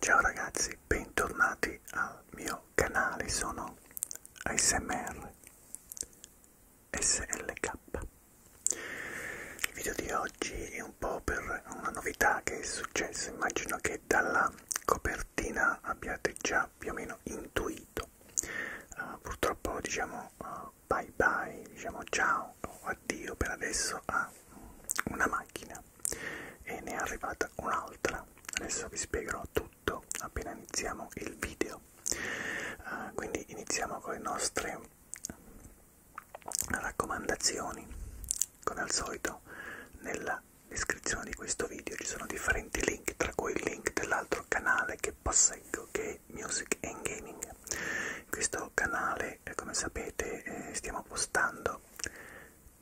Ciao ragazzi, bentornati al mio canale, sono ASMR SLK. Il video di oggi è un po' per una novità che è successa, immagino che dalla copertina abbiate già più o meno intuito. Uh, purtroppo diciamo uh, bye bye, diciamo ciao o addio per adesso a una macchina e ne è arrivata un'altra. Adesso vi spiegherò tutto appena iniziamo il video. Uh, quindi iniziamo con le nostre raccomandazioni. Come al solito nella descrizione di questo video ci sono differenti link, tra cui il link dell'altro canale che posseggo che è Music and Gaming. In questo canale perché eh, come sapete eh, stiamo postando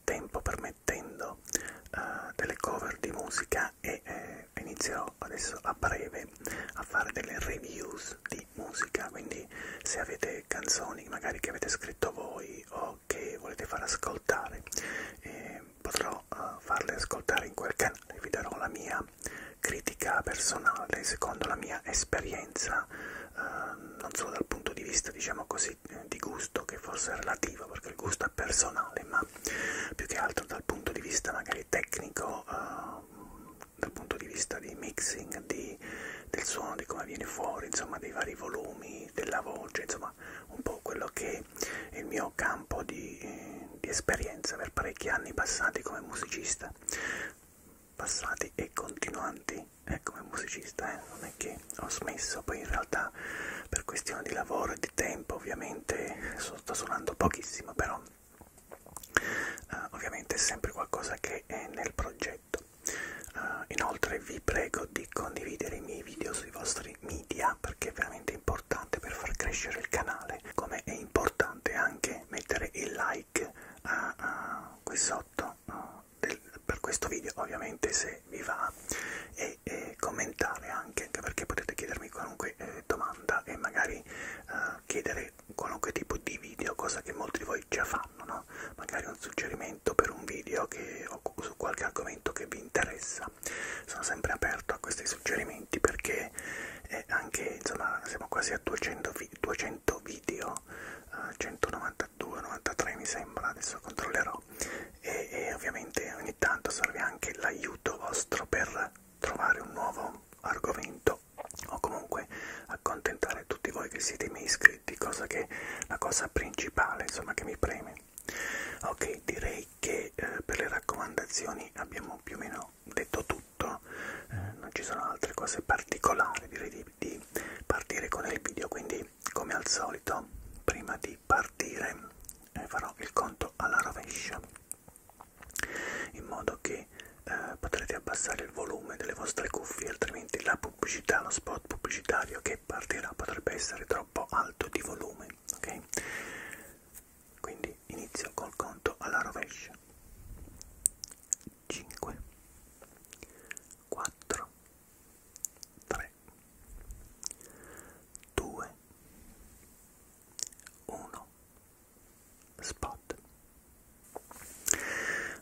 tempo permettendo eh, delle cover di musica e eh, inizierò adesso a breve a fare delle reviews di musica quindi se avete canzoni magari che avete scritto voi o che volete far ascoltare eh, potrò eh, farle ascoltare in quel canale vi darò la mia critica critica personale, secondo la mia esperienza, eh, non solo dal punto di vista, diciamo così, di gusto, che forse è relativo, perché il gusto è personale, ma più che altro dal punto di vista magari tecnico, eh, dal punto di vista di mixing, di, del suono, di come viene fuori, insomma, dei vari volumi, della voce, insomma, un po' quello che è il mio campo di, eh, di esperienza per parecchi anni passati come musicista passati e continuanti eh, come musicista, eh, non è che ho smesso, poi in realtà per questione di lavoro e di tempo ovviamente sto suonando pochissimo, però eh, ovviamente è sempre qualcosa che è nel progetto. Eh, inoltre vi prego di condividere i miei video sui vostri media perché è veramente importante per far crescere il canale, come è importante anche mettere il like a, a qui sotto uh, del, per questo video ovviamente se vi va e, e commentare anche, anche perché potete chiedermi qualunque eh, domanda e magari uh, chiedere qualunque tipo di video, cosa che molti di voi già fanno, no? magari un suggerimento per un video che, o su qualche argomento che vi interessa. Sono sempre aperto a questi suggerimenti perché eh, anche insomma siamo quasi a 200 200 video, uh, 192, 93 mi sembra, adesso controllerò e, e ovviamente ogni tanto serve anche l'aiuto vostro per trovare un nuovo argomento o comunque accontentare tutti voi che siete i miei iscritti, cosa che è la cosa principale insomma che mi preme. Ok, direi che eh, per le raccomandazioni abbiamo più o meno detto tutto, eh, non ci sono altre cose particolari, direi di di partire con il video quindi come al solito prima di partire eh, farò il conto alla rovescia in modo che eh, potrete abbassare il volume delle vostre cuffie altrimenti la pubblicità lo spot pubblicitario che partirà potrebbe essere troppo alto di volume ok quindi inizio col conto alla rovescia 5 4 3 2 1 spot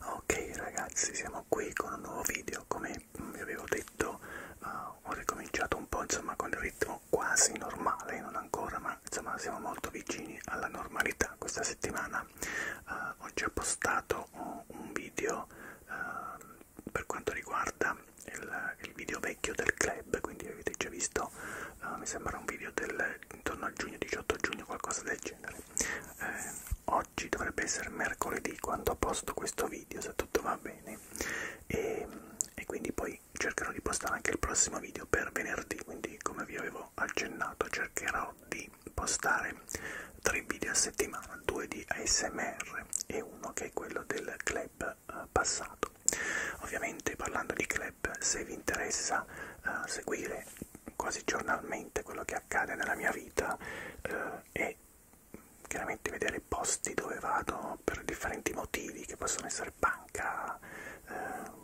ok ragazzi siamo qui con un nuovo video come vi avevo detto uh, ho ricominciato un po' insomma con il ritmo quasi normale non ancora ma insomma siamo molto vicini alla normalità questa settimana fa eh, oggi ho postato un video eh, per quanto riguarda il, il video vecchio del club quindi avete già visto eh, mi sembra un video del intorno al giugno 18 giugno qualcosa del genere eh, oggi dovrebbe essere mercoledì quando posto questo video se tutto va bene e, e quindi poi cercherò di postare anche il prossimo video per venerdì quindi come vi avevo accennato cercherò di di postare tre video a settimana, due di ASMR e uno che è quello del club eh, passato. Ovviamente parlando di club, se vi interessa eh, seguire quasi giornalmente quello che accade nella mia vita eh, e chiaramente vedere posti dove vado per differenti motivi che possono essere banca, eh,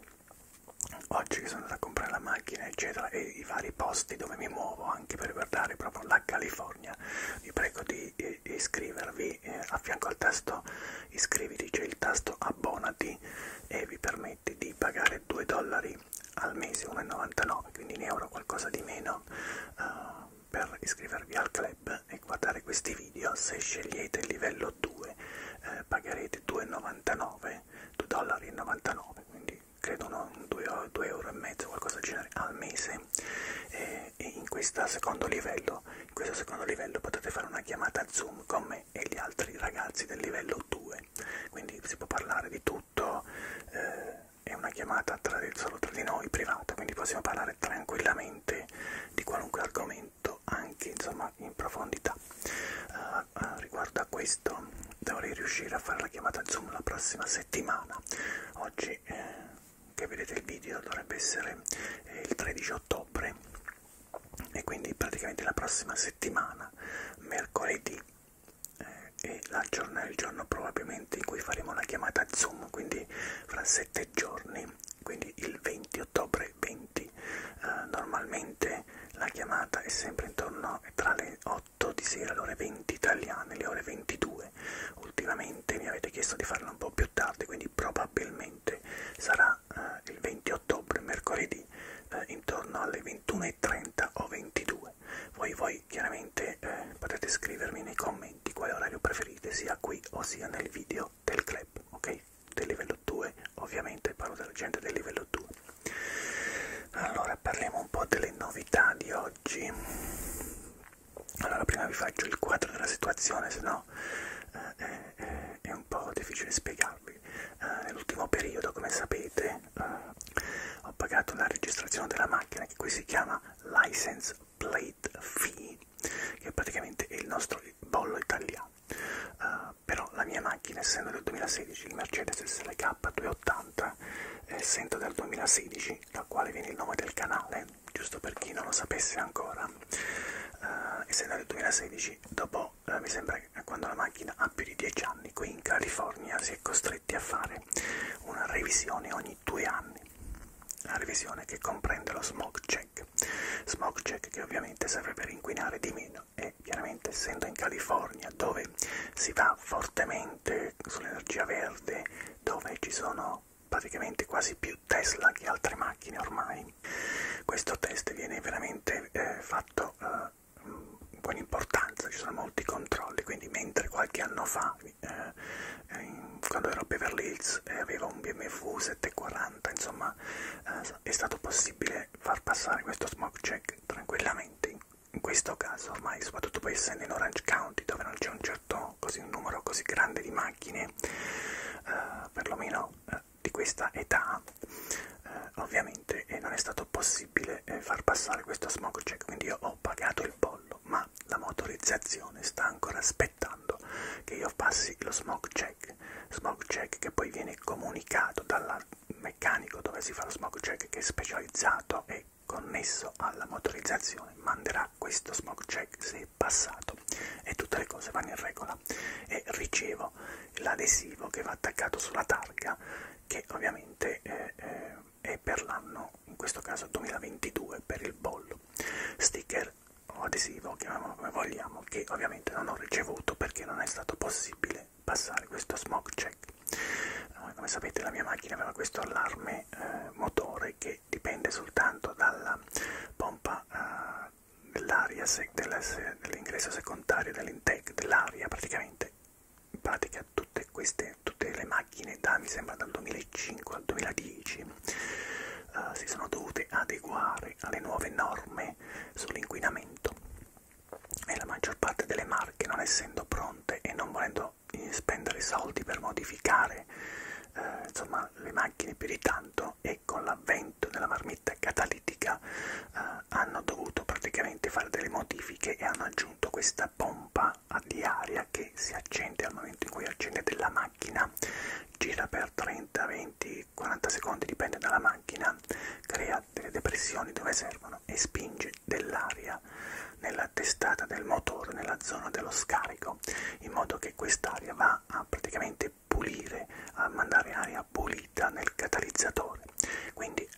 oggi che sono andato a comprare la macchina eccetera e i vari posti dove mi muovo anche per guardare proprio la California vi prego di eh, iscrivervi eh, a fianco al tasto iscriviti c'è il tasto abbonati e vi permette di pagare 2 dollari al mese 1,99 quindi in euro qualcosa di meno uh, per iscrivervi al club e guardare questi video se scegliete il livello 2 eh, pagherete 2,99 2,99 dollari quindi credo no, 2, 2 euro e mezzo qualcosa del genere al mese e, e in questo secondo livello in questo secondo livello potete fare una chiamata zoom con me e gli altri ragazzi del livello 2 quindi si può parlare di tutto eh, è una chiamata tra, solo tra di noi privata quindi possiamo parlare tranquillamente di qualunque argomento anche insomma in profondità uh, ma riguardo a questo dovrei riuscire a fare la chiamata Zoom la prossima settimana. Oggi eh, che vedete il video dovrebbe essere eh, il 13 ottobre e quindi praticamente la prossima settimana, mercoledì, eh, è la giornata, il giorno probabilmente in cui faremo la chiamata Zoom, quindi fra sette giorni, quindi il 20 ottobre 20. Eh, normalmente la chiamata è sempre intorno eh, tra le 8 18 di sera alle ore 20 italiane, alle ore 22. Ultimamente mi avete chiesto di farlo un po' più tardi, quindi probabilmente sarà eh, il 20 ottobre, mercoledì, eh, intorno alle 21.30 o 22. Voi, voi chiaramente eh, potete scrivermi nei commenti quale orario preferite, sia qui o sia nel video del club, ok? Del livello 2, ovviamente parlo della gente del livello 2. Allora parliamo un po' delle novità di oggi. Allora prima vi faccio il quadro della situazione, se no eh, eh, è un po' difficile spiegarvi. Eh, Nell'ultimo periodo, come sapete, eh, ho pagato la registrazione della macchina che qui si chiama License Plate Fee, che praticamente è il nostro bollo italiano. Uh, però la mia macchina essendo del 2016 il Mercedes SLK 2 80 e eh, sento del 2016, da quale viene il nome del canale, giusto per chi non lo sapesse ancora. Uh, essendo del 2016, dopo uh, mi sembra che quando la macchina ha più di 10 anni, qui in California si è costretti a fare una revisione ogni due anni, una revisione che comprende lo smog check, smog check che ovviamente serve per inquinare di meno Bitcoin e eh, chiaramente essendo in California dove si va fortemente sull'energia verde, dove ci sono praticamente quasi più Tesla che altre macchine ormai, questo test viene veramente eh, fatto eh, con importanza, ci sono molti controlli, quindi mentre qualche anno fa, eh, in, eh, quando ero a Beverly Hills e eh, avevo un BMW 740, insomma eh, è stato possibile far passare questo smoke check tranquillamente in questo caso ormai, soprattutto poi essendo in Orange County, dove non c'è un certo così, un numero così grande di macchine, eh, perlomeno eh, di questa età, eh, ovviamente eh, non è stato possibile eh, far passare questo smog check, quindi io ho pagato il pollo, ma la motorizzazione sta ancora aspettando che io passi lo smog check, smog check che poi viene comunicato dalla meccanico dove si fa lo smog check che è specializzato e connesso alla motorizzazione manderà questo smog check se è passato e tutte le cose vanno in regola e ricevo l'adesivo che va attaccato sulla targa che ovviamente eh, eh, è per l'anno in questo caso 2022 per il bollo sticker o adesivo chiamiamolo come vogliamo che ovviamente non ho ricevuto perché non è stato possibile dovete passare questo smoke check. Eh, come sapete la mia macchina aveva questo allarme eh, motore che dipende soltanto dalla pompa eh, dell'aria, se, della, se, dell'ingresso secondario, dell'intake dell'aria praticamente. In pratica tutte, queste, tutte le macchine da mi sembra dal 2005 al 2010 eh, si sono dovute adeguare alle nuove norme sull'inquinamento e la maggior parte delle marche non essendo pronte e non volendo eh, spendere soldi per modificare eh, insomma, le macchine più di tanto e con l'avvento della marmitta catalitica eh, hanno dovuto praticamente fare delle modifiche e hanno aggiunto questa pompa di aria che si accende al momento in cui accendete la macchina gira per 30, 20, 40 secondi dipende dalla macchina crea dell'ansietà, delle depressioni dove servono e spinge dell'aria nella testata del motore, nella zona dello scarico, in modo che quest'aria va a praticamente pulire, a mandare aria pulita nel catalizzatore. Quindi eh,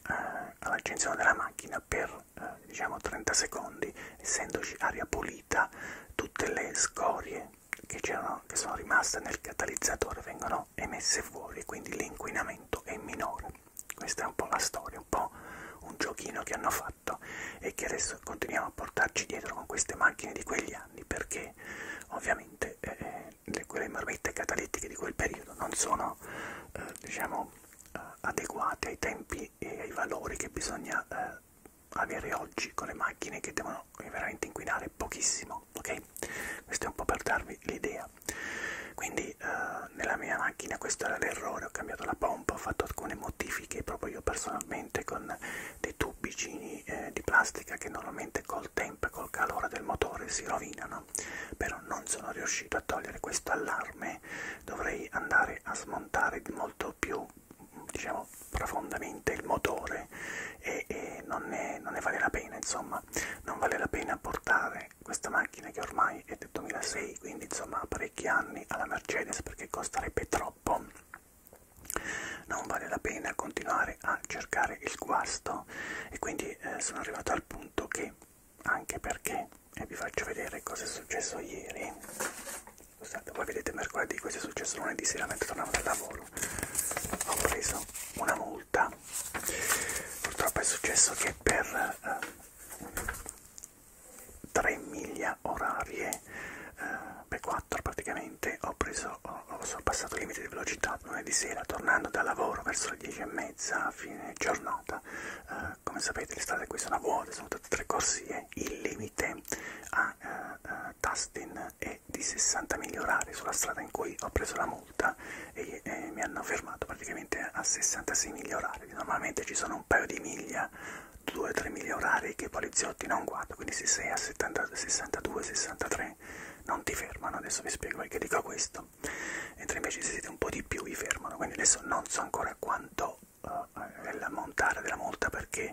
all'accensione della macchina per eh, diciamo 30 secondi, essendoci aria pulita, tutte le scorie che, che sono rimaste nel catalizzatore vengono emesse fuori e quindi l'inquinamento è minore. Questa è un po' la storia, un po' un giochino che hanno fatto e che adesso continuiamo a portarci dietro con queste macchine di quegli anni perché ovviamente eh, eh le, quelle marmette catalettiche di quel periodo non sono eh, diciamo eh, adeguate ai tempi e ai valori che bisogna eh, avere oggi con le macchine che devono veramente inquinare pochissimo ok questo è un po' per darvi l'idea quindi eh, nella mia macchina questo era l'errore ho cambiato la pompa ho fatto alcune modifiche proprio io personalmente con dei tubicini eh, di plastica che normalmente col tempo e col calore del motore si rovinano però non sono riuscito a togliere questo allarme dovrei andare a smontare molto più diciamo profondamente il motore e, e non, ne, non ne vale la pena insomma non vale la pena portare questa macchina che ormai è del 2006 quindi insomma ha parecchi anni alla Mercedes perché costerebbe troppo non vale la pena continuare a cercare il guasto e quindi eh, sono arrivato al punto che anche perché e eh, vi faccio vedere cosa è successo ieri scusate voi vedete mercoledì questo è successo lunedì sera mentre tornavo dal lavoro ho preso una multa purtroppo è successo che per eh, 3 miglia orarie, eh, beh 4 praticamente, ho, preso, ho, ho sorpassato il limite di velocità lunedì sera tornando dal lavoro verso le 10 e mezza a fine giornata. Eh, come sapete le strade qui sono vuote, sono tutte tre corsie, il limite a eh, Tustin eh, è di 60 miglia orari sulla strada in cui ho preso la multa e, e eh, mi hanno fermato praticamente a 66 miglia orari perché normalmente ci sono un paio di miglia, 2-3 miglia orari che i poliziotti non guardano, quindi se sei a 62-63 non ti fermano, adesso vi spiego perché dico questo, mentre invece se siete un po' di più vi fermano, quindi adesso non so ancora quanto uh, è l'ammontare della multa perché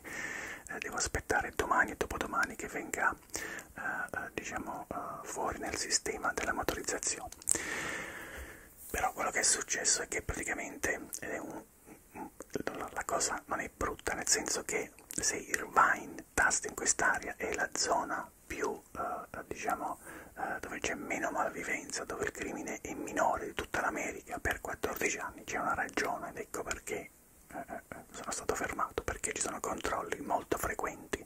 uh, devo aspettare domani e dopodomani che venga uh, uh, diciamo uh, fuori nel sistema della motorizzazione però quello che è successo è che praticamente è eh, un, la cosa non è brutta nel senso che se Irvine tasta in quest'area è la zona più eh, diciamo eh, dove c'è meno malvivenza dove il crimine è minore di tutta l'America per 14 anni c'è una ragione ed ecco perché eh, eh, eh, sono stato fermato perché ci sono controlli molto frequenti perché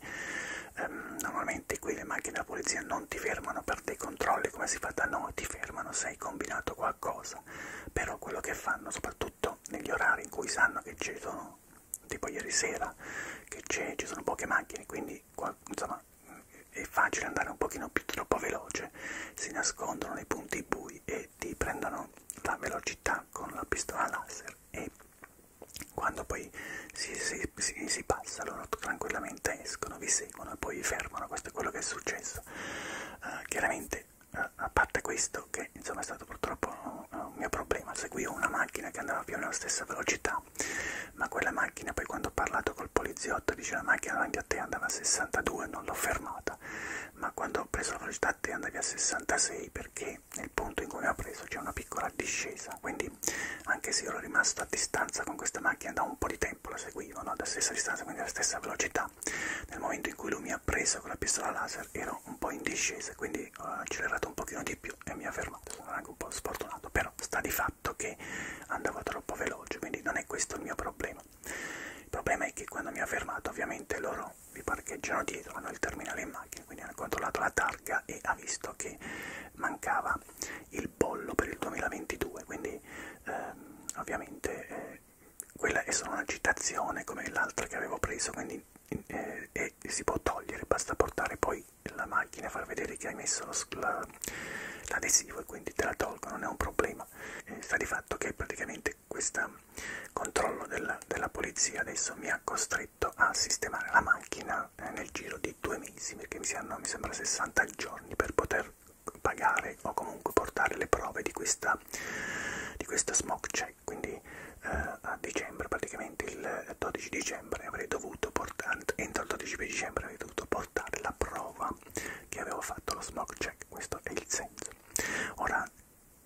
ehm, normalmente qui le macchine della polizia non ti fermano per dei controlli come si fa da noi, ti fermano se hai combinato qualcosa, però quello che fanno, soprattutto negli orari in cui sanno che ci sono, tipo ieri sera, che ci sono poche macchine, quindi insomma è facile andare un pochino più troppo veloce, si nascondono nei punti bui e ti prendono la velocità con la pistola laser e quando poi si, si, si, si, si passa, loro tranquillamente escono, vi seguono e poi vi fermano, questo è quello che è successo. Uh, chiaramente, uh, a parte questo, che insomma è stato purtroppo un, eh, un mio problema, seguivo una macchina che andava più o meno alla stessa velocità, ma quella macchina poi quando ho parlato col poliziotto dice la macchina davanti a te andava a 62, non l'ho fermata, ma quando ho preso la velocità a te andavi a 66 perché nel punto in cui mi ho preso c'è una piccola discesa, quindi quindi anche se ero rimasto a distanza con questa macchina da un po' di tempo, la seguivo no? da stessa distanza, quindi alla stessa velocità, nel momento in cui lui mi ha preso con la pistola laser ero un po' in discesa, quindi ho accelerato un pochino di più e mi ha fermato, sono anche un po' sfortunato, però sta di fatto che andavo troppo veloce, quindi non è questo il mio problema. Il problema è che quando mi ha fermato ovviamente loro vi parcheggiano dietro, hanno il terminale in macchina, quindi hanno controllato la targa e ha visto che mancava il bollo per il 2022, quindi ehm, ovviamente eh, quella è solo una citazione come l'altra che avevo preso, quindi eh, eh, si può togliere, basta portare poi la macchina e far vedere che hai messo l'adesivo la, e quindi te la tolgo, non è un problema. Eh, sta di fatto che praticamente questo controllo della, della polizia adesso mi ha costretto a sistemare la macchina eh, nel giro di due mesi, perché mi, siano, mi sembra 60 giorni per poter pagare o comunque portare le prove di questa, di questa smoke check. Quindi eh, a dicembre, praticamente il 12 dicembre, avrei dovuto portare, entro il 12 dicembre avrei dovuto portare la prova che avevo fatto lo smoke check. Questo è il senso. Ora,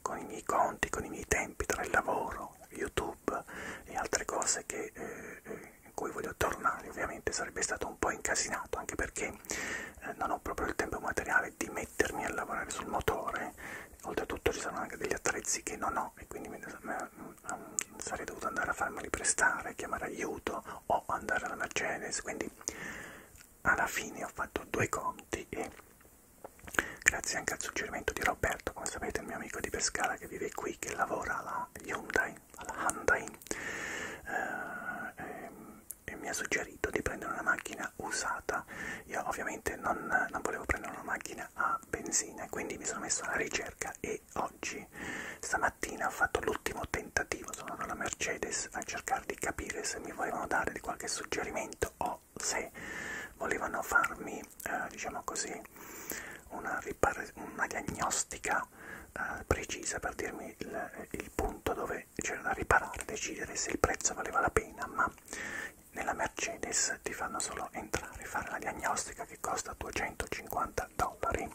con i miei conti, con i miei tempi tra il lavoro, YouTube e altre cose che eh, eh in cui voglio tornare, ovviamente sarebbe stato un po' incasinato, anche perché eh, non ho proprio il tempo materiale di mettermi a lavorare sul motore, oltretutto ci saranno anche degli attrezzi che non ho e quindi mi, mm, mm, sarei dovuto andare a farmeli prestare, chiamare aiuto o andare alla Mercedes, quindi alla fine ho fatto due conti e grazie anche al suggerimento di Roberto, come sapete il mio amico di Pescara che vive qui, che lavora alla alla Hyundai, alla Hyundai eh, e, e mi ha suggerito di prendere una macchina usata. Io ovviamente non, non volevo prendere una macchina a benzina, quindi mi sono messo alla ricerca e oggi, stamattina, ho fatto l'ultimo tentativo, sono andato alla Mercedes a cercare di capire se mi volevano dare qualche suggerimento o se volevano farmi, eh, diciamo così, una, una diagnostica eh, precisa per dirmi il, il punto dove c'era da riparare, decidere se il prezzo valeva la pena, ma nella Mercedes ti fanno solo entrare, fare la diagnostica che costa 250 dollari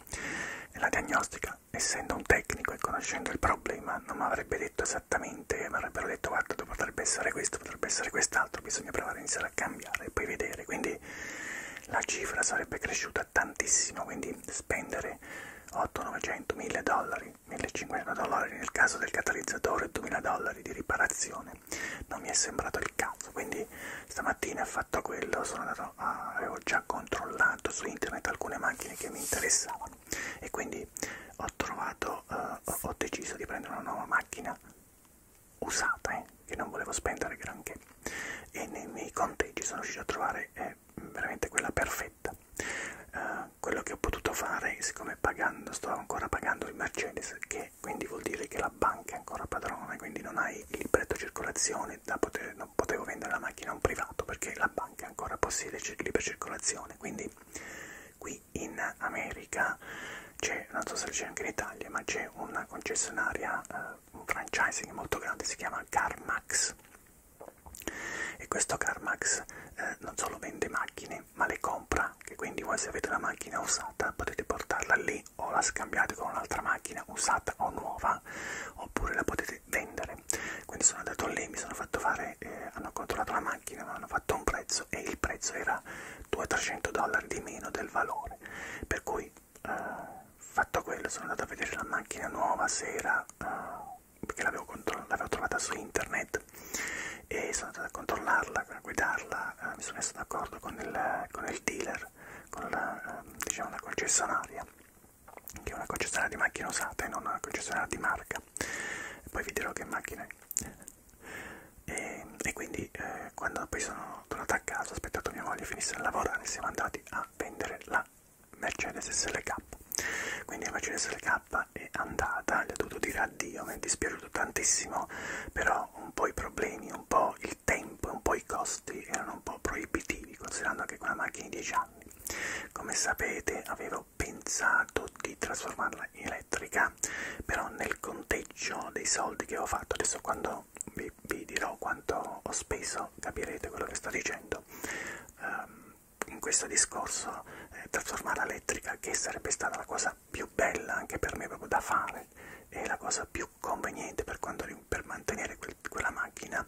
e la diagnostica, essendo un tecnico e conoscendo il problema, non mi avrebbe detto esattamente, mi avrebbero detto guarda potrebbe essere questo, potrebbe essere quest'altro, bisogna provare a iniziare a cambiare e poi vedere, quindi la cifra sarebbe cresciuta tantissimo, quindi spendere 8, 900, 1000 dollari, 1500 dollari nel caso del catalizzatore, 2000 dollari di riparazione, non mi è sembrato il caso. Quindi stamattina ho fatto quello, sono andato a, avevo già controllato su internet alcune macchine che mi interessavano e quindi ho trovato, eh, ho, ho deciso di prendere una nuova macchina usata, eh, che non volevo spendere granché e nei miei conteggi sono riuscito a trovare eh, veramente quella perfetta uh, quello che ho potuto fare siccome pagando sto ancora pagando il Mercedes che quindi vuol dire che la banca è ancora padrona quindi non hai il libretto circolazione da poter non potevo vendere la macchina a un privato perché la banca ancora possiede libera circolazione quindi qui in America c'è non so se c'è anche in Italia ma c'è una concessionaria uh, un franchising molto grande, si chiama CarMax e questo CarMax eh, non solo vende macchine ma le compra, che quindi voi se avete la macchina usata potete portarla lì o la scambiate con un'altra macchina usata o nuova oppure la potete vendere. Quindi sono andato lì, mi sono fatto fare, eh, hanno controllato la macchina, mi hanno fatto un prezzo e il prezzo era 200-300 dollari di meno del valore, per cui eh, fatto quello sono andato a vedere la macchina nuova sera eh, perché l'avevo trovata su internet e sono andato a controllarla, a guidarla, eh, mi sono messo d'accordo con, con il dealer, con la, eh, diciamo la concessionaria che è una concessionaria di macchine usate e non una concessionaria di marca e poi vi dirò che macchina è e, e quindi eh, quando poi sono tornato a casa ho aspettato mia moglie finisse di lavorare siamo andati a a vendere la Mercedes SLK quindi la Mercedes SLK è andata, le ho dovuto dire addio, mi è dispiaciuto tantissimo però un po' i problemi, un po' il tempo, un po' i costi erano un po' proibitivi considerando che quella macchina di 10 anni come sapete avevo pensato di trasformarla in elettrica però nel conteggio dei soldi che avevo fatto adesso quando quando vi, vi dirò quanto ho speso capirete quello che sto dicendo. Um, in questo discorso eh, trasformare l'elettrica, che sarebbe stata la cosa più bella anche per me proprio da fare e la cosa più conveniente per, quanto, per mantenere quel, quella macchina,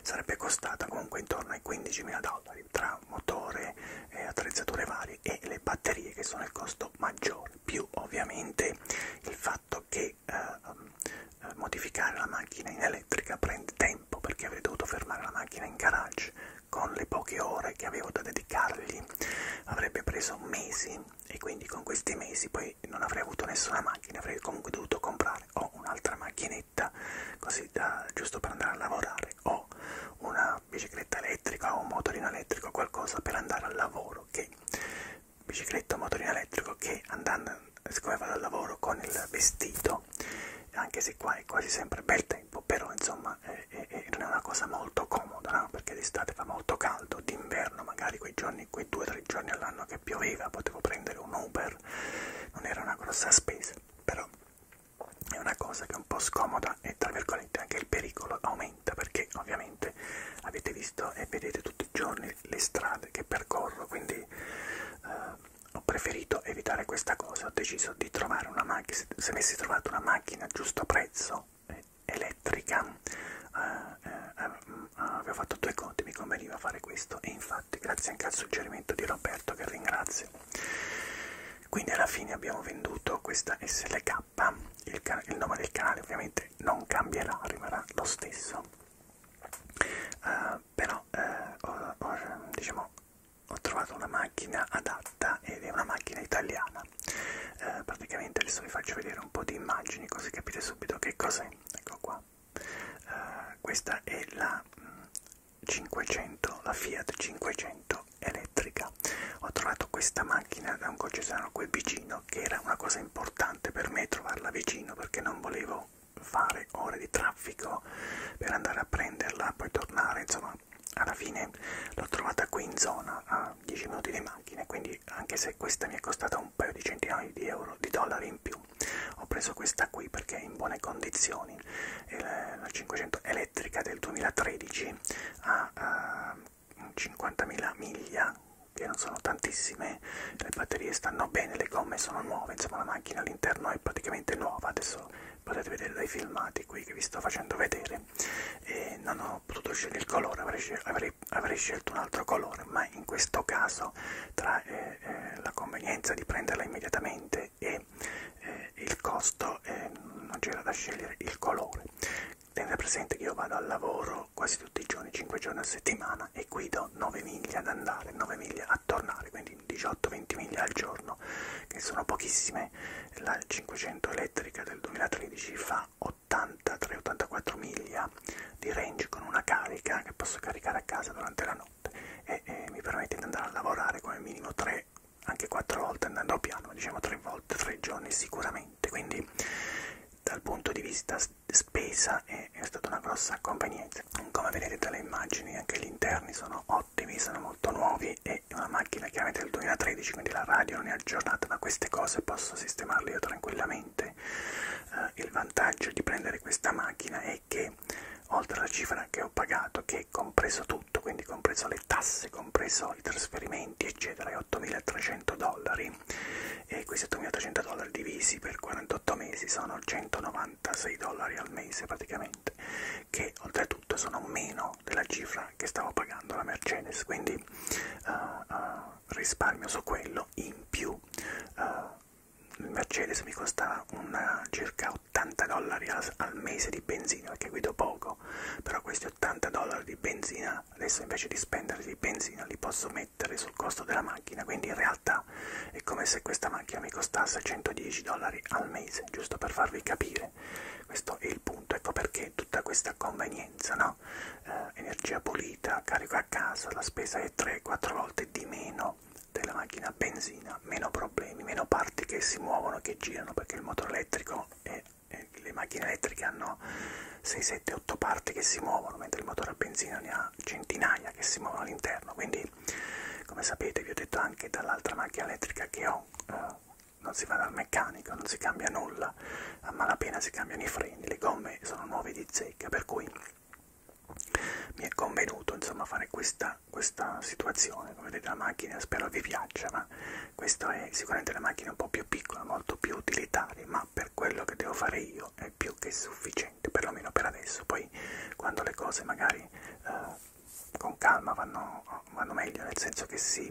sarebbe costata comunque intorno ai 15.000 dollari tra motore, eh, attrezzature varie e le batterie che sono il costo maggiore, più ovviamente il fatto fatto che ehm, eh, modificare la macchina in elettrica prende tempo perché avrei dovuto fermare la macchina in garage con le poche ore che avevo da dedicargli avrebbe preso mesi e quindi con questi mesi poi non avrei avuto nessuna macchina avrei comunque dovuto comprare o un'altra macchinetta così da, giusto per andare a lavorare o una bicicletta elettrica o un motorino elettrico qualcosa per andare al lavoro che bicicletta o motorino elettrico che andando siccome vado al lavoro con il vestito anche se qua è quasi sempre bel tempo però insomma è, è, è, non è una cosa molto comoda no? perché d'estate fa molto caldo d'inverno magari quei giorni quei due o tre giorni all'anno che pioveva potevo prendere un Uber non era una grossa spesa però è una cosa che è un po' scomoda e tra virgolette anche il pericolo aumenta perché ovviamente avete visto e vedete tutti i giorni le, le strade che percorro, quindi eh, ho preferito evitare questa cosa, ho deciso di trovare una macchina, se avessi trovato una macchina a giusto prezzo, eh, elettrica, eh, eh, eh mm, avevo fatto due conti, mi conveniva fare questo e infatti grazie anche al suggerimento di Roberto che ringrazio. Quindi alla fine abbiamo venduto questa SLK, il, il nome del canale ovviamente non cambierà, rimarrà lo stesso uh, però eh, ho, ho, diciamo, ho trovato una macchina adatta ed è una macchina italiana eh, praticamente adesso vi faccio vedere un po' di immagini così capite subito che cos'è ecco qua eh, questa è la 500 mm, la Fiat 500 elettrica ho trovato questa macchina da un concessionario qui vicino vicino, che era una cosa importante per me trovarla vicino perché non volevo fare ore di traffico per andare a prenderla, poi tornare, insomma alla fine l'ho trovata qui in zona a 10 minuti di macchina, quindi anche se questa mi è costata un paio di centinaia di euro, di dollari in più, ho preso questa qui perché è in buone condizioni, la 500 elettrica del 2013 ha 50.000 ehm, miglia, che non sono tantissime, le batterie stanno bene, le gomme sono nuove, insomma la macchina all'interno è praticamente nuova, adesso potete vedere dai filmati qui che vi sto facendo vedere, e non ho potuto scegliere il colore, avrei, avrei, avrei scelto un altro colore, ma in questo caso tra eh, eh, la convenienza di prenderla immediatamente e eh, il costo eh, non c'era da scegliere il colore. Tenete presente che io vado al lavoro quasi tutti i giorni, 5 giorni a settimana, settimana e guido 9 miglia ad andare, 9 miglia a tornare, quindi 18-20 miglia al giorno, che sono pochissime. La 500 elettrica del 2013 fa 83-84 miglia di range con una carica che posso caricare a casa durante la notte e, e mi permette di andare a lavorare come minimo 3 anche 4 volte andando piano, diciamo 3 volte, 3 giorni sicuramente. Quindi dal punto di vista spesa e è stata una grossa convenienza come vedete dalle immagini anche gli interni sono ottimi sono molto nuovi e è una macchina chiaramente del 2013 quindi la radio non è aggiornata ma queste cose posso sistemarle io tranquillamente eh, il vantaggio di prendere questa macchina è che oltre alla cifra che ho pagato che è compreso tutto quindi compreso le tasse compreso i trasferimenti eccetera è 8300 dollari e questi 8.800 dollari divisi per 48 mesi sono 196 dollari al mese praticamente che oltretutto sono meno della cifra che stavo pagando la Mercedes quindi uh, uh, risparmio su quello in più uh, il Mercedes mi costava una, circa 80 dollari al, al mese di benzina perché guido poco però questi 80 dollari di benzina adesso invece di spenderli di benzina li posso mettere sul costo della macchina quindi in realtà vita. È come se questa macchina mi costasse 110 dollari al mese, giusto per farvi capire. Questo è il punto, ecco perché tutta questa convenienza, no? Eh, energia pulita, carico a casa, la spesa è 3-4 volte di meno della macchina benzina, meno problemi, meno parti che si muovono, che girano, perché il motore elettrico e le macchine elettriche hanno 6 7-8 parti che si muovono, mentre il motore a benzina ne ha centinaia che si muovono all'interno. Quindi, come sapete, vi ho detto anche dall'altra macchina elettrica che ho, eh, non si va dal meccanico, non si cambia nulla, a malapena si cambiano i freni, le gomme sono nuove di zecca, per cui mi è convenuto insomma fare questa, questa situazione come vedete la macchina spero vi piaccia ma questa è sicuramente una macchina un po' più piccola molto più utilitaria ma per quello che devo fare io è più che sufficiente che perlomeno per adesso, poi quando le cose magari eh, con calma vanno, vanno meglio, nel senso che sì,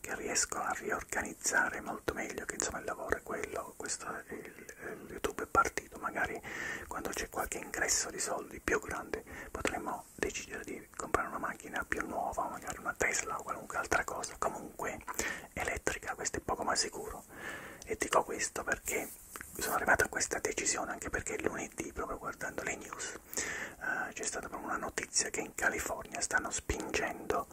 che riesco a riorganizzare molto meglio, che insomma il lavoro è quello, questo è il, il YouTube è partito, magari quando c'è qualche ingresso di soldi più grande potremmo decidere di comprare una macchina più nuova, magari una Tesla o qualunque altra cosa, comunque elettrica, questo è poco ma sicuro. E dico questo perché sono arrivato a questa decisione anche perché lunedì, proprio guardando le news, uh, c'è stata proprio una notizia che in California stanno spingendo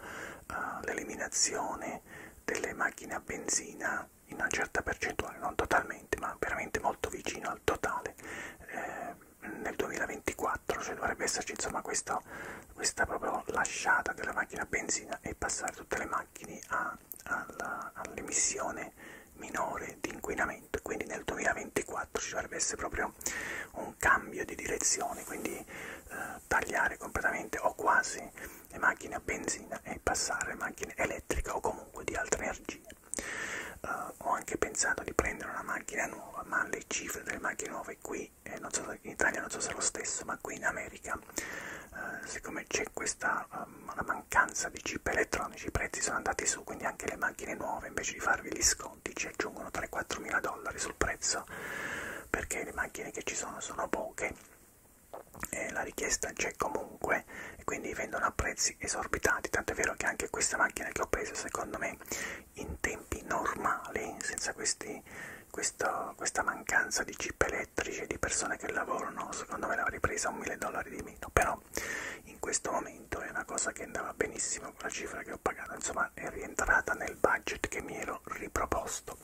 uh, l'eliminazione delle macchine a benzina in una certa percentuale, non totalmente, ma veramente molto vicino al totale. Eh, nel 2024, cioè dovrebbe esserci insomma questo, questa proprio lasciata della macchina a benzina e passare tutte le macchine a all'emissione all minore di inquinamento, quindi nel 2024 ci dovrebbe essere proprio un cambio di direzione, quindi eh, tagliare completamente o quasi le macchine a benzina e passare a macchine elettriche o comunque di altre energie. Uh, ho anche pensato di prendere una macchina nuova, ma le cifre delle macchine nuove qui, eh, non so, in Italia non so se è lo stesso, ma qui in America eh, siccome c'è questa um, la mancanza di chip elettronici, i prezzi sono andati su, quindi anche le macchine nuove invece di farvi gli sconti ci aggiungono 3-4 mila dollari sul prezzo perché le macchine che ci sono sono poche e la richiesta c'è comunque e quindi vendono a prezzi esorbitati, tanto è vero che anche questa macchina che ho preso secondo me in tempi normali, senza questi, questo, questa mancanza di chip elettronici, direttrice di persone che lavorano, secondo me l'avrei presa un 1000 dollari di meno, però in questo momento è una cosa che andava benissimo con la cifra che ho pagato, insomma è rientrata nel budget che mi ero riproposto.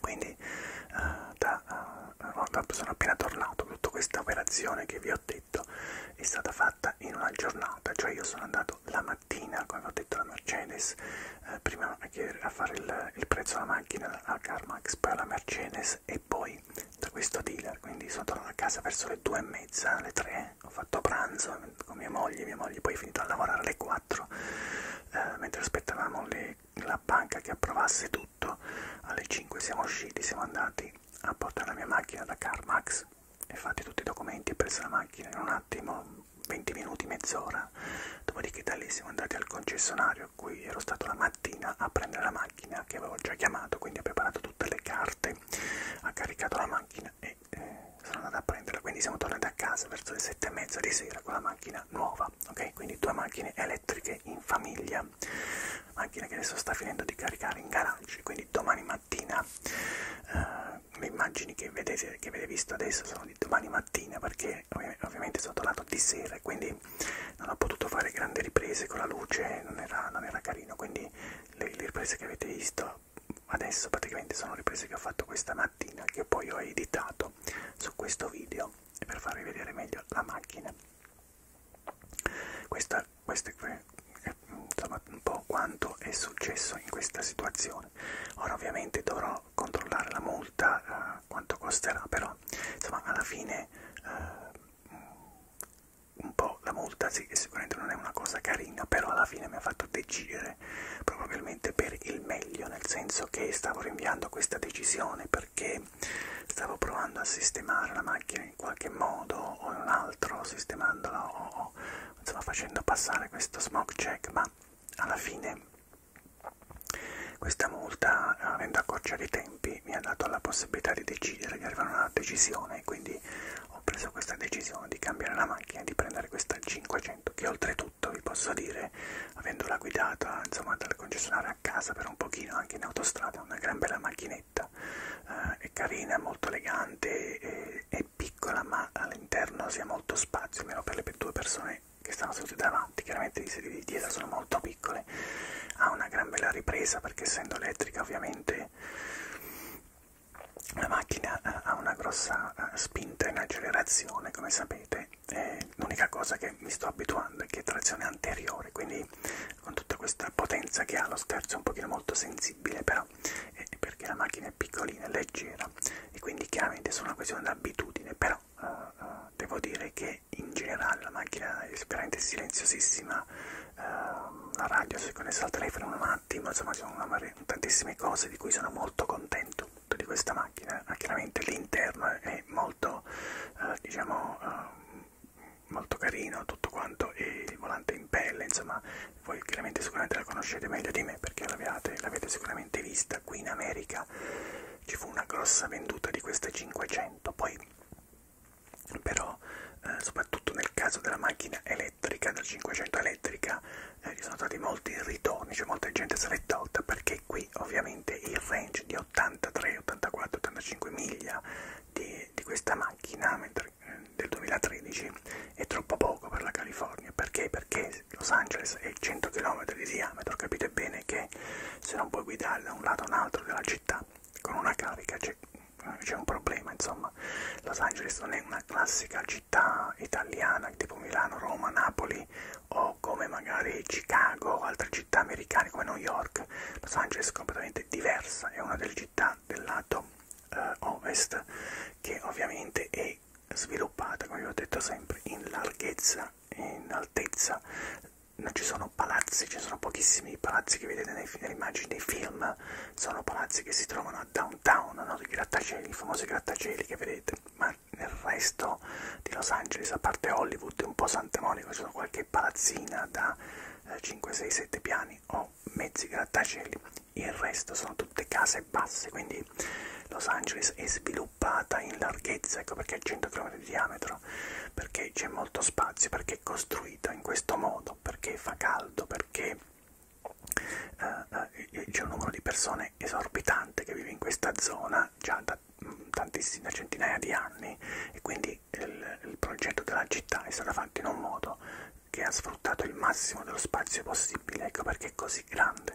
Quindi uh, da, uh, da, sono appena tornato, tutta questa operazione che vi ho detto è stata fatta in una giornata, cioè io sono andato la mattina, come ho detto alla Mercedes, eh, prima a, chiedere, a fare il, il prezzo alla macchina, macchina a CarMax per la Mercedes e poi da questo dealer, quindi sono tornato a casa verso le due e mezza, alle tre, ho fatto pranzo con mia moglie, mia moglie poi è finita a lavorare alle 4, eh, mentre aspettavamo le, la banca che approvasse tutto, alle 5 siamo usciti, siamo andati a portare la mia macchina da CarMax e fatti tutti i documenti, ho preso la macchina in un attimo, 20 minuti, mezz'ora ora. Dopodiché da lì siamo andati al concessionario a cui ero stato la mattina a prendere la macchina che avevo già chiamato, quindi ho preparato tutte le carte, ha caricato la macchina e eh, sono andato a prenderla. Quindi siamo tornati a casa verso le sette e mezza di sera con la macchina nuova, ok? Quindi due macchine elettriche in famiglia, macchina che adesso sta finendo di caricare in garage, quindi domani mattina eh, le immagini che, vedete, che avete visto adesso sono di domani mattina perché perché ovviamente sono tornato di sera e quindi non ho potuto fare grandi riprese con la luce, non era, non era carino, quindi le, le riprese che avete visto adesso praticamente sono riprese che ho fatto questa mattina che poi ho editato su questo video per farvi vedere meglio la macchina. Questa, questa è eh, insomma, un po' quanto è successo in questa situazione. Ora ovviamente dovrò devo controllare la multa, eh, quanto costerà, però insomma alla fine eh, un po' la multa sì, sicuramente non è una cosa carina, però alla fine mi ha fatto decidere probabilmente per il meglio, nel senso che stavo rinviando questa decisione perché stavo provando a sistemare la macchina in qualche modo o in un altro, sistemandola o, o insomma facendo passare questo smog check, ma alla fine questa multa, avendo a accorciare i tempi, mi ha dato la possibilità di decidere, di arrivare a una decisione, quindi ho preso questa decisione di cambiare la macchina e di prendere questa 500, che oltretutto vi posso dire, avendola guidata insomma dal concessionario a casa per un pochino anche in autostrada, una gran bella macchinetta, eh, è carina, molto elegante, è, è piccola ma all'interno si ha molto spazio, almeno per le due persone persone che stanno sedute davanti, chiaramente le sedie di dietro sono molto piccole, ha una gran bella ripresa perché essendo elettrica ovviamente la macchina eh, ha una grossa eh, spinta in accelerazione come sapete, l'unica cosa che mi sto abituando è che è trazione anteriore, quindi con tutta questa potenza che ha lo scherzo è un pochino molto sensibile però è perché la macchina è piccolina e leggera e quindi chiaramente è solo una questione d'abitudine, però uh, uh, devo dire che come in generale la macchina è veramente silenziosissima, eh, la radio si è connessa al telefono un attimo, insomma ci sono una, tantissime cose di cui sono molto contento di questa macchina, ma ah, chiaramente l'interno è molto, eh, diciamo, eh, molto carino tutto quanto e il volante in pelle, insomma voi chiaramente sicuramente la conoscete meglio di me perché l'avete sicuramente vista qui in America ci fu una grossa venduta di queste 500 poi però eh, soprattutto nel caso della macchina elettrica del 500 elettrica eh, ci sono stati molti ritorni cioè molta gente se l'è tolta perché qui ovviamente il range di 83 84 85 miglia di, di questa macchina mentre, eh, del 2013 è troppo poco per la California perché perché Los Angeles è 100 km di diametro capite bene bene che se non puoi guidare da un lato a un altro della città con una carica c'è un problema, insomma. Los Angeles non è una classica città italiana tipo Milano, Roma, Napoli o come magari Chicago o altre città americane come New York. Los Angeles è completamente diversa, è una delle città del lato eh, ovest che ovviamente è sviluppata, come vi ho detto sempre, in larghezza, in altezza non ci sono palazzi, ci sono pochissimi palazzi che vedete nei, nelle immagini dei film, sono palazzi che si trovano a downtown, no? i grattacieli, i famosi grattacieli che vedete, ma nel resto di Los Angeles, a parte Hollywood e un po' Santa Monica, ci sono qualche palazzina da 5, 6, 7 piani o mezzi grattacieli, il resto sono tutte case basse, quindi Los Angeles è sviluppo sviluppata in larghezza, ecco perché è 100 km di diametro, perché c'è molto spazio, perché è costruita in questo modo, perché fa caldo, perché eh, eh c'è un numero di persone esorbitante che vive in questa zona già da mm, tantissime centinaia di anni e quindi il, il progetto della città è stato fatto in un modo che ha sfruttato il massimo dello spazio possibile, ecco perché è così grande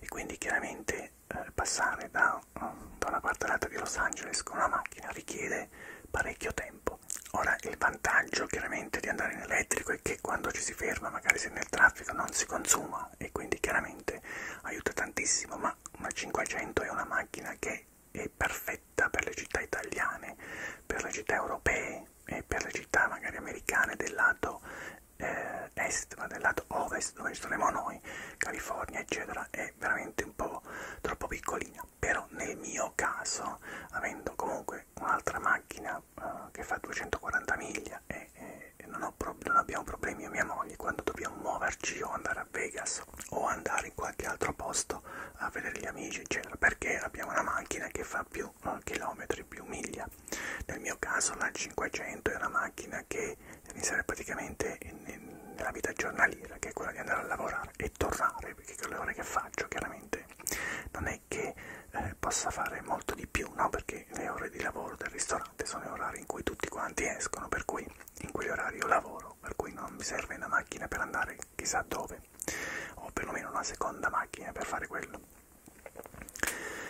e quindi chiaramente perché eh, passare da, da una parte all'altra di Los Angeles con una macchina richiede parecchio tempo. Ora il vantaggio chiaramente di andare in elettrico è che quando ci si ferma, magari se nel traffico non si consuma e quindi chiaramente aiuta tantissimo, ma una 500 è una macchina che è perfetta per le città italiane, per le città europee e per le città magari americane del lato eh, est, ma del lato ovest dove saremo noi, California eccetera, cifra è veramente un po' troppo piccolina però nel mio caso avendo comunque un'altra macchina uh, che fa 240 miglia e, e, e non, ho non abbiamo problemi io e mia moglie quando dobbiamo muoverci o andare a Vegas o andare in qualche altro posto a vedere gli amici eccetera perché abbiamo una macchina che fa più uh, chilometri più miglia nel mio caso la 500 è una macchina che iniziare praticamente in, in, nella vita giornaliera, che è quella di andare a lavorare e tornare, perché con le ore che faccio chiaramente non è che eh, possa fare molto di più, no? Perché le ore di lavoro del ristorante sono gli orari in cui tutti quanti escono, per cui in quegli orari io lavoro, per cui non mi serve una macchina per andare chissà dove, o perlomeno una seconda macchina per fare quello.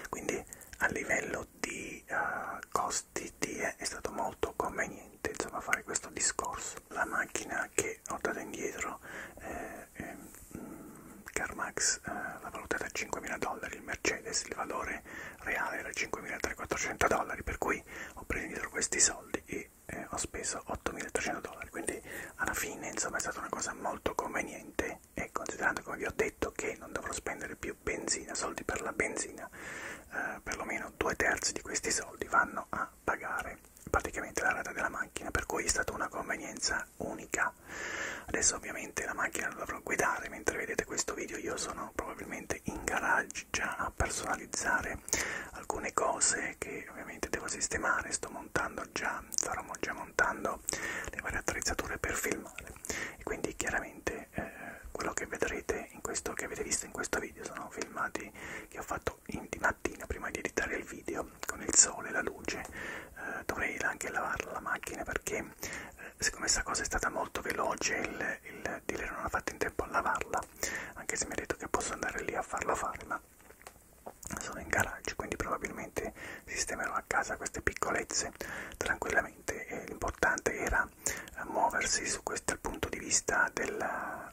Quindi a livello di uh, costi vestiti eh, è stato molto conveniente insomma fare questo discorso la macchina che ho dato indietro eh, eh, CarMax eh, l'ha valutata a 5.000 dollari il Mercedes il valore reale era 5.300 dollari per cui ho preso indietro questi soldi e eh, ho speso 8.300 dollari quindi alla fine insomma è stata una cosa molto conveniente e considerando come vi ho detto che non dovrò spendere più benzina soldi per la benzina eh, perlomeno almeno due terzi di questi soldi vanno a pagare praticamente la rata della macchina, per cui è stata una convenienza unica. Adesso ovviamente la macchina la dovrò guidare, mentre vedete questo video io sono probabilmente in garage già a personalizzare alcune cose che ovviamente devo sistemare, sto montando già, starò già montando le varie attrezzature per filmare e quindi chiaramente perché eh, quello che vedrete in questo che avete visto in questo video sono filmati che ho fatto in, di mattina prima di editare il video con il sole la luce eh, dovrei anche lavare la macchina perché eh, siccome questa cosa è stata molto veloce il, il dealer non ha fatto in tempo a lavarla anche se mi ha detto che posso andare lì a farla fare ma sono in garage quindi probabilmente sistemerò a casa queste piccolezze tranquillamente l'importante era bisogna muoversi su questo dal punto di vista della,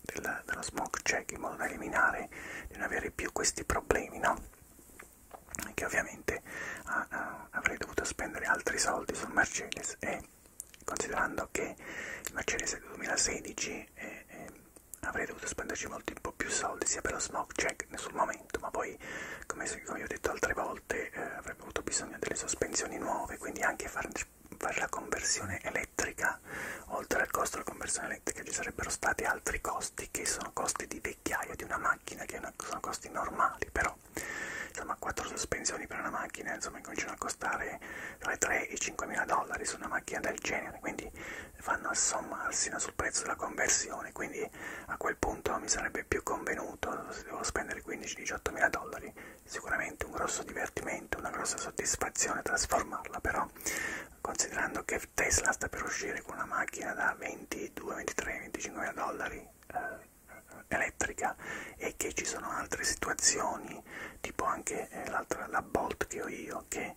della, dello smoke check in modo da eliminare di non avere più questi problemi, no? Che ovviamente ah, ah, avrei dovuto spendere altri soldi sul Mercedes e considerando che il Mercedes 2016 eh, eh, avrei dovuto spenderci molti un po' più soldi sia per lo smoke check sul momento ma poi come, come vi ho detto altre volte eh, avrei avrebbe avuto bisogno delle sospensioni nuove, quindi anche far, fare la conversione elettrica, oltre al costo della conversione elettrica ci sarebbero stati altri costi che sono costi di vecchiaia di una macchina, che una, sono costi normali, però insomma quattro sospensioni per una macchina insomma cominciano a costare tra i 3 e i 5 mila dollari su una macchina del genere, quindi vanno a sommarsi no, sul prezzo della conversione, quindi a quel punto mi sarebbe più convenuto se devo spendere 15-18 mila dollari sicuramente un grosso divertimento, una grossa soddisfazione trasformarla però considerando che Tesla sta per uscire con una macchina da 22, 23, 25 mila dollari eh, elettrica e che ci sono altre situazioni tipo anche eh, la Bolt che ho io che eh,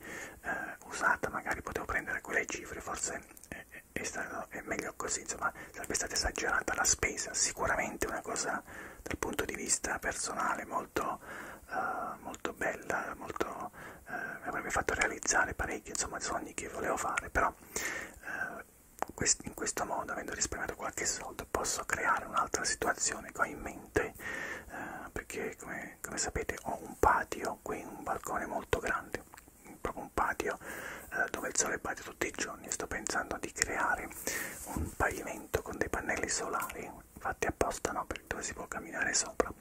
usata magari potevo prendere quelle cifre forse è, è, è, stato, è meglio così insomma sarebbe stata esagerata la spesa, sicuramente una cosa dal punto di vista personale molto, uh, molto bella, molto, uh, eh, mi avrebbe fatto realizzare parecchi insomma, sogni che volevo fare, però uh, quest in questo modo, avendo risparmiato qualche soldo, posso creare un'altra situazione che ho in mente, uh, perché come, come sapete ho un patio qui, un balcone molto grande, proprio un patio dove il sole batte tutti i giorni sto pensando di creare un pavimento con dei pannelli solari fatti apposta no per dove si può camminare sopra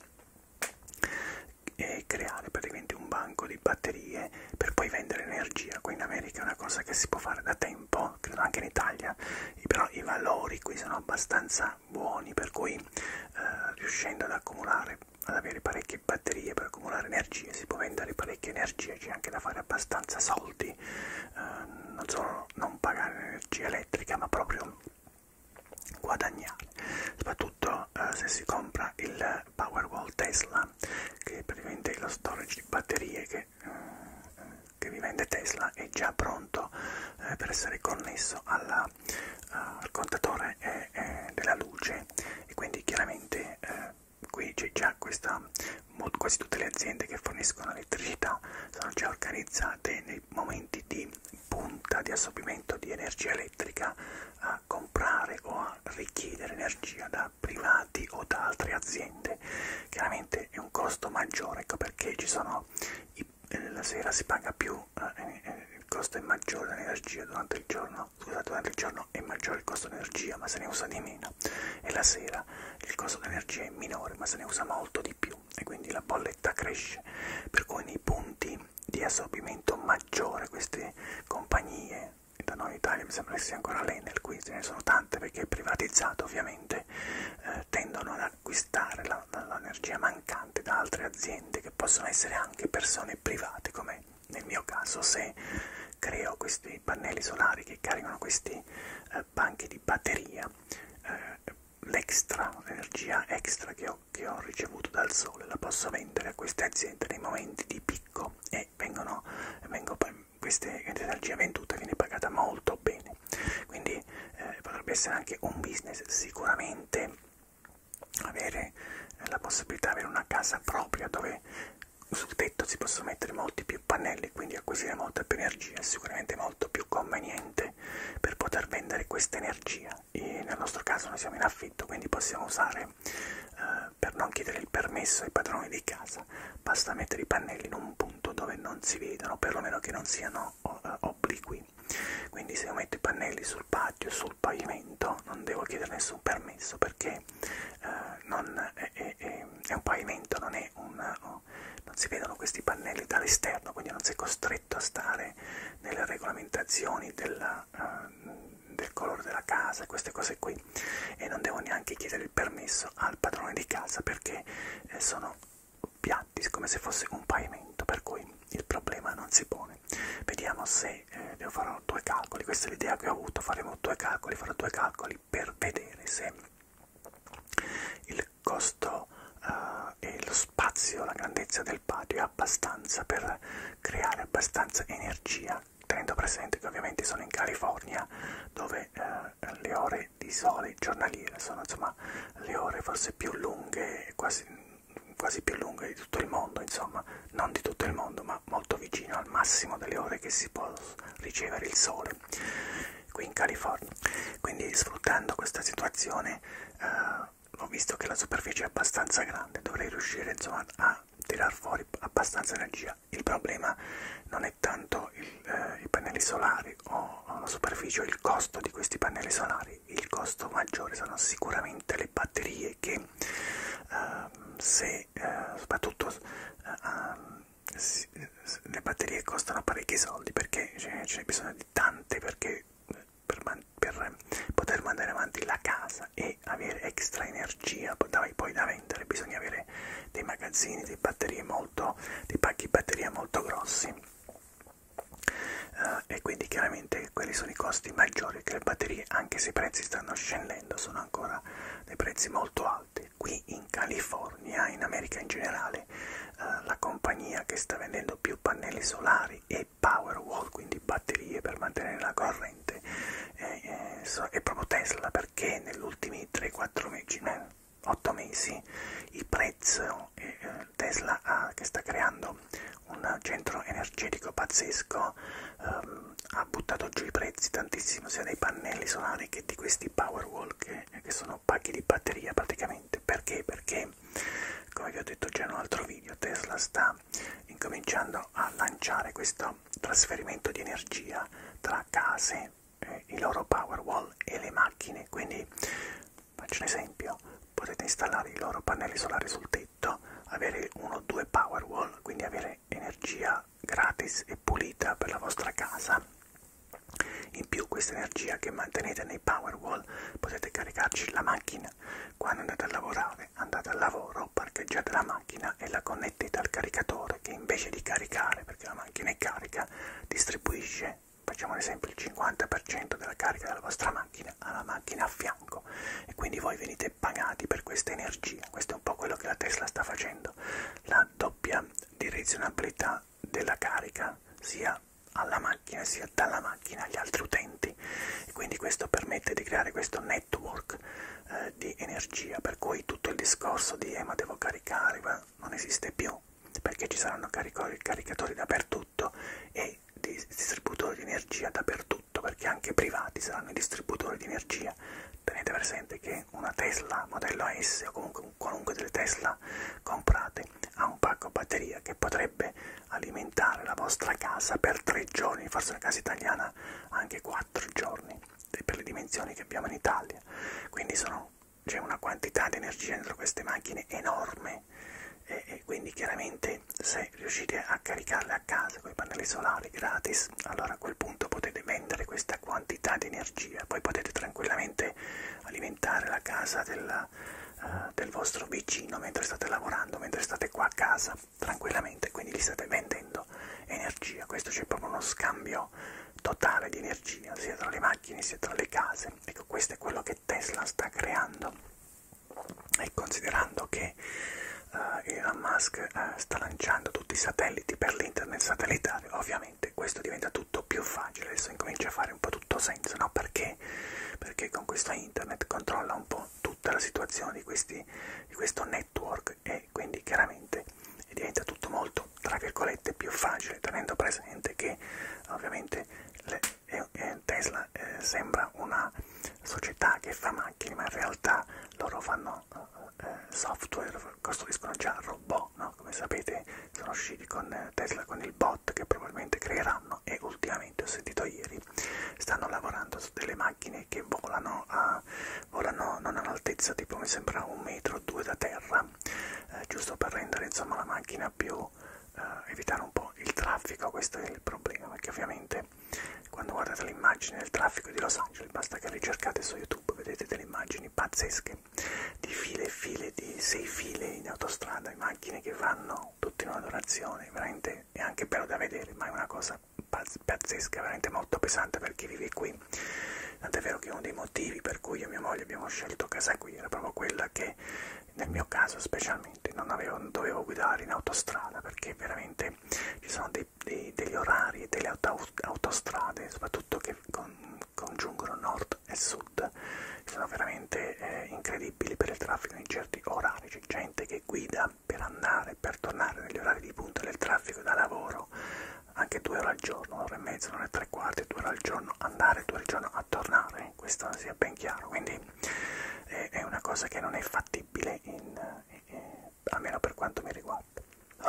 e creare praticamente un banco di batterie per poi vendere energia qui in America è una cosa che si può fare da tempo credo anche in Italia però i valori qui sono abbastanza buoni per cui eh, riuscendo ad accumulare ad avere parecchie batterie per accumulare energie si può vendere parecchia energia c'è anche da fare abbastanza soldi eh, non solo non pagare l'energia elettrica ma proprio guadagnare soprattutto eh, se si compra il Powerwall Tesla che praticamente è lo storage di batterie che, eh, che vi vende Tesla è già pronto eh, per essere connesso alla, eh, al contatore eh, eh, della luce e quindi chiaramente eh, qui c'è già questa quasi tutte le aziende che forniscono elettricità sono già organizzate nei momenti di punta di assorbimento di energia elettrica a comprare o a richiedere energia da privati o da altre aziende chiaramente è un costo maggiore ecco perché ci sono i, eh, la sera si paga più eh, eh, il costo è maggiore dell'energia durante il giorno scusate durante il giorno giorno è maggiore il costo energia ma se ne usa di meno e la sera il costo energia è minore ma se ne usa molto di più e quindi la bolletta cresce per cui nei punti di assorbimento maggiore queste compagnie da noi in Italia mi sembra che sia ancora l'Enel qui ce ne sono tante perché è privatizzato ovviamente eh, tendono ad acquistare l'energia mancante da altre aziende che possono essere anche persone private come nel mio caso se creo questi pannelli solari che caricano questi eh, banchi di batteria, eh, l'extra, l'energia extra che ho, che ho ricevuto dal sole, la posso vendere a queste aziende nei momenti di picco e vengono, vengono questa energia venduta viene pagata molto bene, quindi eh, potrebbe essere anche un business sicuramente avere eh, la possibilità di avere una casa propria dove sul tetto si possono mettere molti più pannelli, quindi acquisire molta più energia è sicuramente molto più conveniente per poter vendere questa energia. E nel nostro caso noi siamo in affitto, quindi possiamo usare, eh, per non chiedere il permesso ai padroni di casa, basta mettere i pannelli in un punto dove non si vedono, perlomeno che non siano eh, obliqui. Quindi se io metto i pannelli sul patio, sul pavimento, non devo chiedere nessun permesso perché eh, non è, è, è un pavimento, non è c'è un... Oh, non si vedono questi pannelli dall'esterno, quindi non sei costretto a stare nelle regolamentazioni della, uh, del colore della casa, queste cose qui. E non devo neanche chiedere il permesso al padrone di casa perché eh, sono piatti come se fosse un pavimento, per cui il problema non si pone. Vediamo se eh, devo fare due calcoli, questa è l'idea che ho avuto, faremo due calcoli, farò due calcoli per vedere se il costo uh, e lo spazio, la grandezza del patio è abbastanza per creare abbastanza energia, tenendo presente che ovviamente sono in California dove uh, le ore di sole giornaliere sono insomma le ore forse più lunghe, quasi, quasi più lunghe di tutto il mondo, insomma, non di tutto il mondo, ma molto vicino al massimo delle ore che si può ricevere il sole qui in California. Quindi sfruttando questa situazione eh, ho visto che la superficie è abbastanza grande, dovrei riuscire insomma a tirar fuori abbastanza energia. Il problema non è tanto il, eh, i pannelli solari o, o la superficie o il costo di questi pannelli solari, il costo maggiore sono sicuramente le batterie che eh, se eh, soprattutto eh, le batterie costano parecchi soldi perché ce n'è bisogno di tante perché per, per poter mandare avanti la casa e avere extra energia poi da vendere bisogna avere dei magazzini dei, batterie molto, dei pacchi batteria molto grossi uh, e quindi chiaramente quelli sono i costi maggiori che le batterie anche se i prezzi stanno scendendo sono ancora dei prezzi molto alti qui in California, in America in generale, eh, la compagnia che sta vendendo più pannelli solari e Powerwall, quindi batterie per mantenere la corrente, eh, eh, so, è proprio Tesla perché negli ultimi 3-4 mesi, no, 8 mesi, il prezzo eh, Tesla ha, che sta creando un centro energetico pazzesco ehm, ha buttato giù i prezzi tantissimo sia dei pannelli solari che di questi Powerwall che, che sono pacchi di batteria praticamente. Perché? Perché, come vi ho detto già in un altro video, Tesla sta incominciando a lanciare questo trasferimento di energia tra case, eh, i loro Powerwall e le macchine. Quindi, faccio un esempio, potete installare i loro pannelli solari sul tetto, avere uno o due Powerwall, quindi avere ottenere energia gratis e pulita per la vostra casa. In più questa energia che mantenete nei Powerwall potete caricarci la macchina. Quando andate a lavorare, andate al lavoro, parcheggiate la macchina e la connettete al caricatore che invece di caricare, perché la macchina è carica, distribuisce, facciamo un esempio, il 50% della carica della vostra macchina alla macchina a fianco e quindi voi venite pagati per questa energia. Questo è un po' quello che la Tesla sta facendo. La doppia direzionabilità della carica sia alla macchina sia dalla macchina agli altri utenti e quindi questo permette di creare questo network eh, di energia per cui tutto il discorso di eh ma devo caricare non esiste più perché ci saranno caricatori dappertutto e distributori di energia dappertutto perché anche privati saranno i distributori di energia tenete presente che una Tesla modello S o comunque qualunque delle Tesla comprate ha un pacco batteria che potrebbe alimentare la vostra casa per tre giorni, forse una casa italiana anche quattro giorni per le dimensioni che abbiamo in Italia. Quindi c'è una quantità di energia dentro queste macchine enorme e, e quindi chiaramente se riuscite a caricarle a casa con i pannelli solari gratis, allora a quel punto potete vendere questa quantità quantità di energia. Poi potete tranquillamente alimentare la casa della, uh, eh, del vostro vicino mentre state lavorando, mentre state qua a casa, tranquillamente, quindi gli state vendendo energia. Questo c'è proprio uno scambio totale di energia, sia tra le macchine sia tra le case. Ecco, questo è quello che Tesla sta creando e considerando che uh, Elon Musk uh, sta lanciando tutti i satelliti per l'internet satellitare, ovviamente veramente questo diventa tutto più facile, adesso incomincia a fare un po' tutto senso, no? Perché? Perché con questo internet controlla un po' tutta la situazione di, questi, di questo network e quindi chiaramente diventa tutto molto, tra virgolette, più facile, tenendo presente che ovviamente le, eh, eh Tesla eh, sembra una società che fa macchine, ma in realtà loro fanno sono eh, software costruiscono già robot, no? come sapete sono usciti con eh, Tesla con il bot che probabilmente creeranno e ultimamente ho sentito ieri stanno lavorando su delle macchine che volano, a, volano non all'altezza tipo mi sembra un metro o due da terra eh, giusto per rendere insomma la macchina più eh, evitare un po' il traffico questo è il problema perché ovviamente quando guardate l'immagine del traffico di Los Angeles basta che le cercate su YouTube vedete delle immagini pazzesche di file e file, di sei file in autostrada, in macchine che vanno tutte in una donazione, veramente è anche bello da vedere, ma è una cosa pazzesca, veramente molto pesante per chi vive qui. Tant'è vero che uno dei motivi per cui io e mia moglie abbiamo scelto casa qui era proprio quella che, nel mio caso specialmente, non, avevo, non dovevo guidare in autostrada perché veramente ci sono dei, dei, degli orari e delle auto, autostrade, soprattutto soprattutto che con, congiungono nord e sud, sono veramente eh, incredibili per il traffico in certi orari, c'è gente che guida per andare, per tornare negli orari di punta del traffico da lavoro, anche due ore al giorno, un'ora e mezza, un'ora e tre quarti, due ore al giorno, andare due ore al giorno a tornare, questo sia ben chiaro, quindi eh, è una cosa che non è fattibile in, eh, eh, almeno per quanto mi riguarda. Esatto.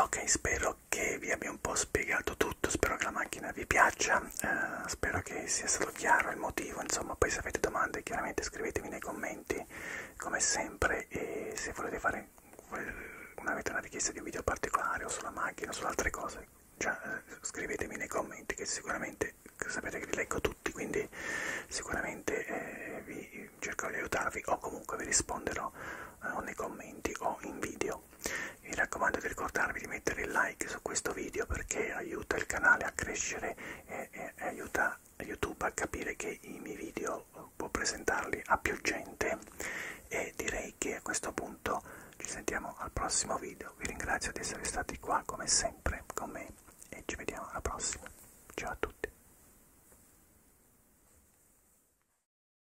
Ok, spero che vi abbia un po' spiegato tutto, spero che la macchina vi piaccia, eh, spero che sia stato chiaro il motivo, insomma, poi se avete domande chiaramente scrivetemi nei commenti come sempre e se volete fare una, avete una richiesta di un video particolare o sulla macchina o su altre cose, già, eh, scrivetemi nei commenti che sicuramente sapete che li leggo tutti, quindi sicuramente eh, vi cercherò di aiutarvi o comunque vi risponderò eh, o nei commenti o in video video vi raccomando di ricordarvi di mettere il like su questo video perché aiuta il canale a crescere e, e, e aiuta youtube a capire che i miei video può presentarli a più gente e direi che a questo punto ci sentiamo al prossimo video vi ringrazio di essere stati qua come sempre con me e ci vediamo alla prossima ciao a tutti